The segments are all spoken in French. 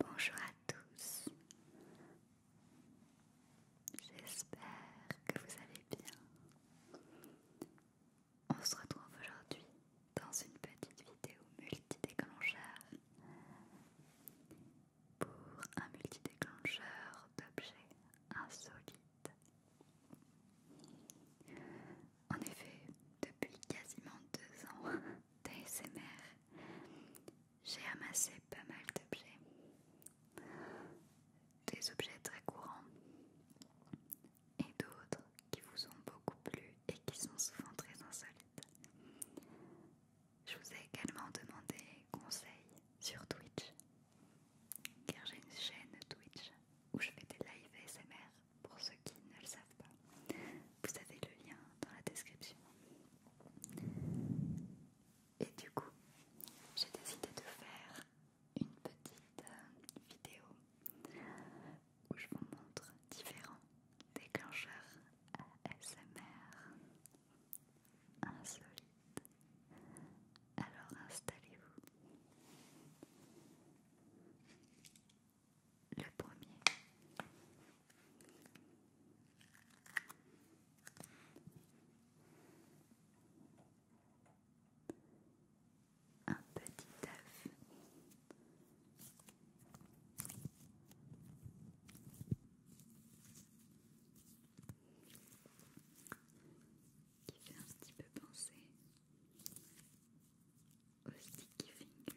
Bonjour à tous. J'espère que vous allez bien. On se retrouve aujourd'hui dans une petite vidéo multi pour un multidéclencheur d'objets insolites. En effet, depuis quasiment deux ans d'ASMR, j'ai amassé pas mal d'objets. Des objets très courants et d'autres qui vous ont beaucoup plu et qui sont souvent très insolites. Je vous ai également demandé conseil sur Twitch, car j'ai une chaîne Twitch où je fais des live ASMR pour ceux qui ne le savent pas. Vous avez le lien dans la description. Et du coup, j'ai décidé de faire une petite euh, vidéo où je vous montre différents déclencheurs ASMR. Alors installez-vous. Le premier. Un petit œuf qui fait un petit peu penser au sticky fingers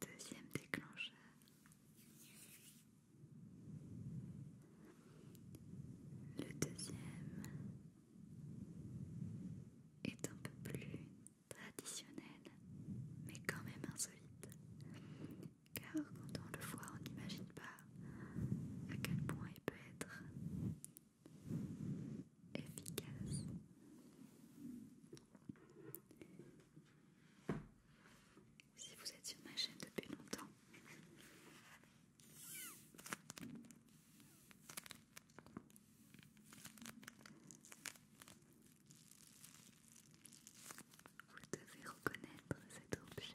Deuxième déclencheur. Le deuxième est un peu plus traditionnel, mais quand même insolite. Car quand on le voit, on n'imagine pas à quel point il peut être efficace. Si vous êtes sur ma chaîne depuis longtemps, vous devez reconnaître cet objet.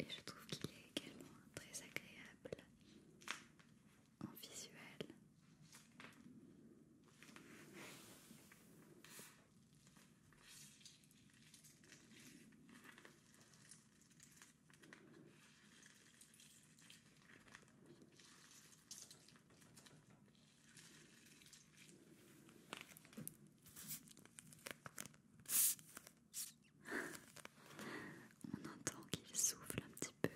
Et je trouve qu'il est également très agréable en visuel. On entend qu'il souffle un petit peu.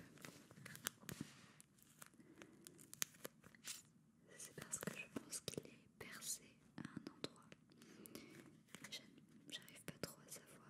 C'est parce que je pense qu'il est percé à un endroit. J'arrive pas trop à savoir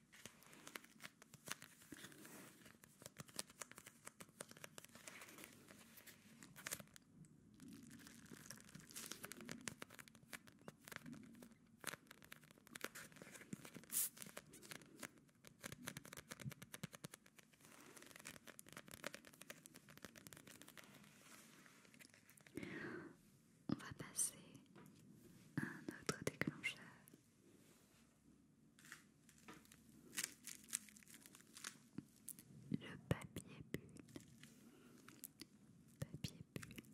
On va passer à un autre déclencheur le papier bulle. Papier bulle.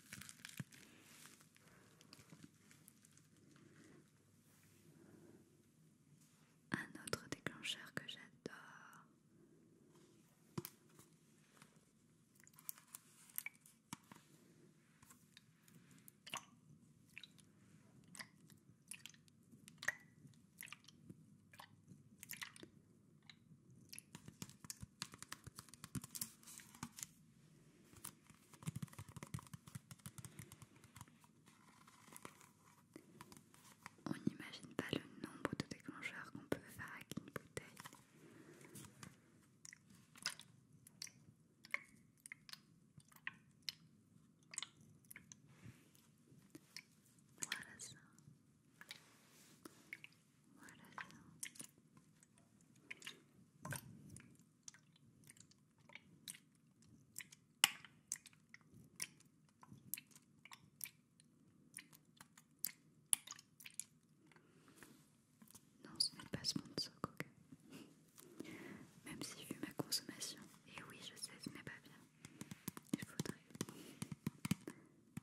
Un autre déclencheur que j'adore. On n'imagine pas le nombre de déclencheurs qu'on peut faire avec une bouteille. Voilà ça. Voilà. Non, ce n'est pas ce sponsor Coca. Même si vu ma consommation, et oui je sais, ce n'est pas bien. Il faudrait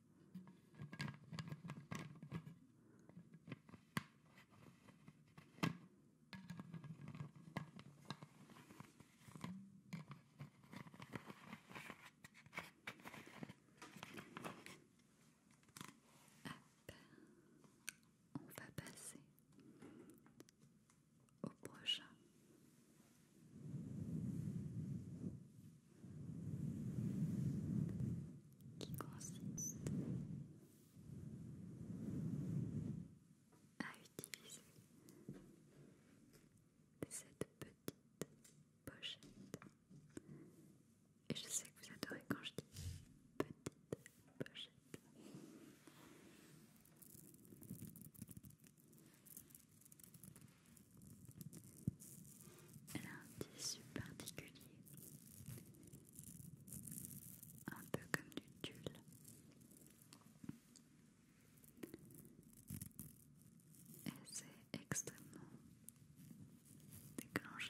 on va passer au prochain qui consiste à utiliser cette petite pochette. Et je sais que vous adorez quand je dis petite pochette. Elle a un tissu particulier, un peu comme du tulle. Elle c'est extrêmement déclencheur.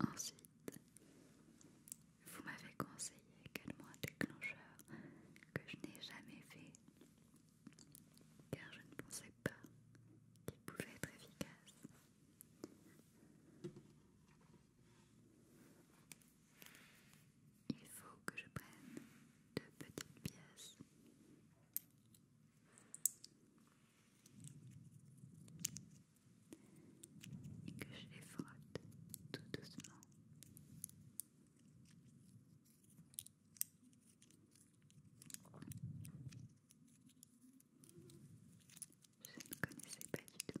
Ensuite, vous m'avez conseillé également un déclencheur que je n'ai jamais fait car je ne pensais pas qu'il pouvait être efficace. Il faut que je prenne deux petites pièces et que je les frotte tout doucement. Je ne connaissais pas du tout.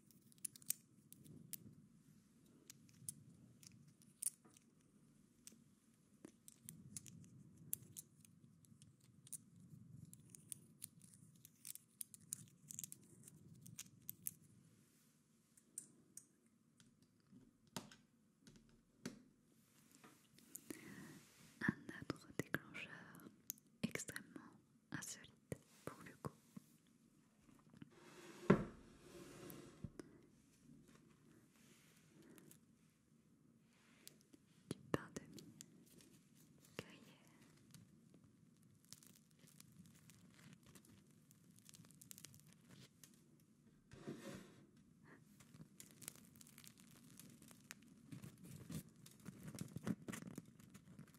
Un autre déclencheur extrêmement insolite pour le coup. Du pain de mie grillé.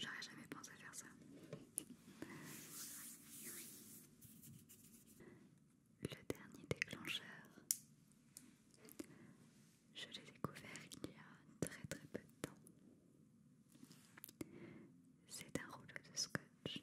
J'aurais jamais pensé faire ça. Le dernier déclencheur, je l'ai découvert il y a très très peu de temps. C'est un rouleau de scotch.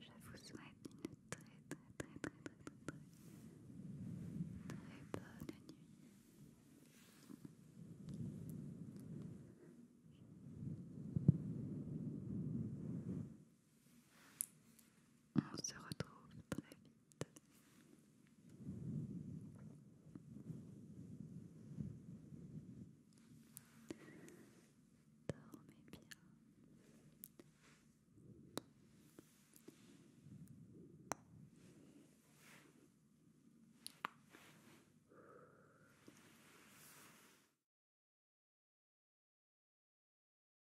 Je vous souhaite une très très très très très très très, bonne nuit. On se retrouve très vite. Dormez bien.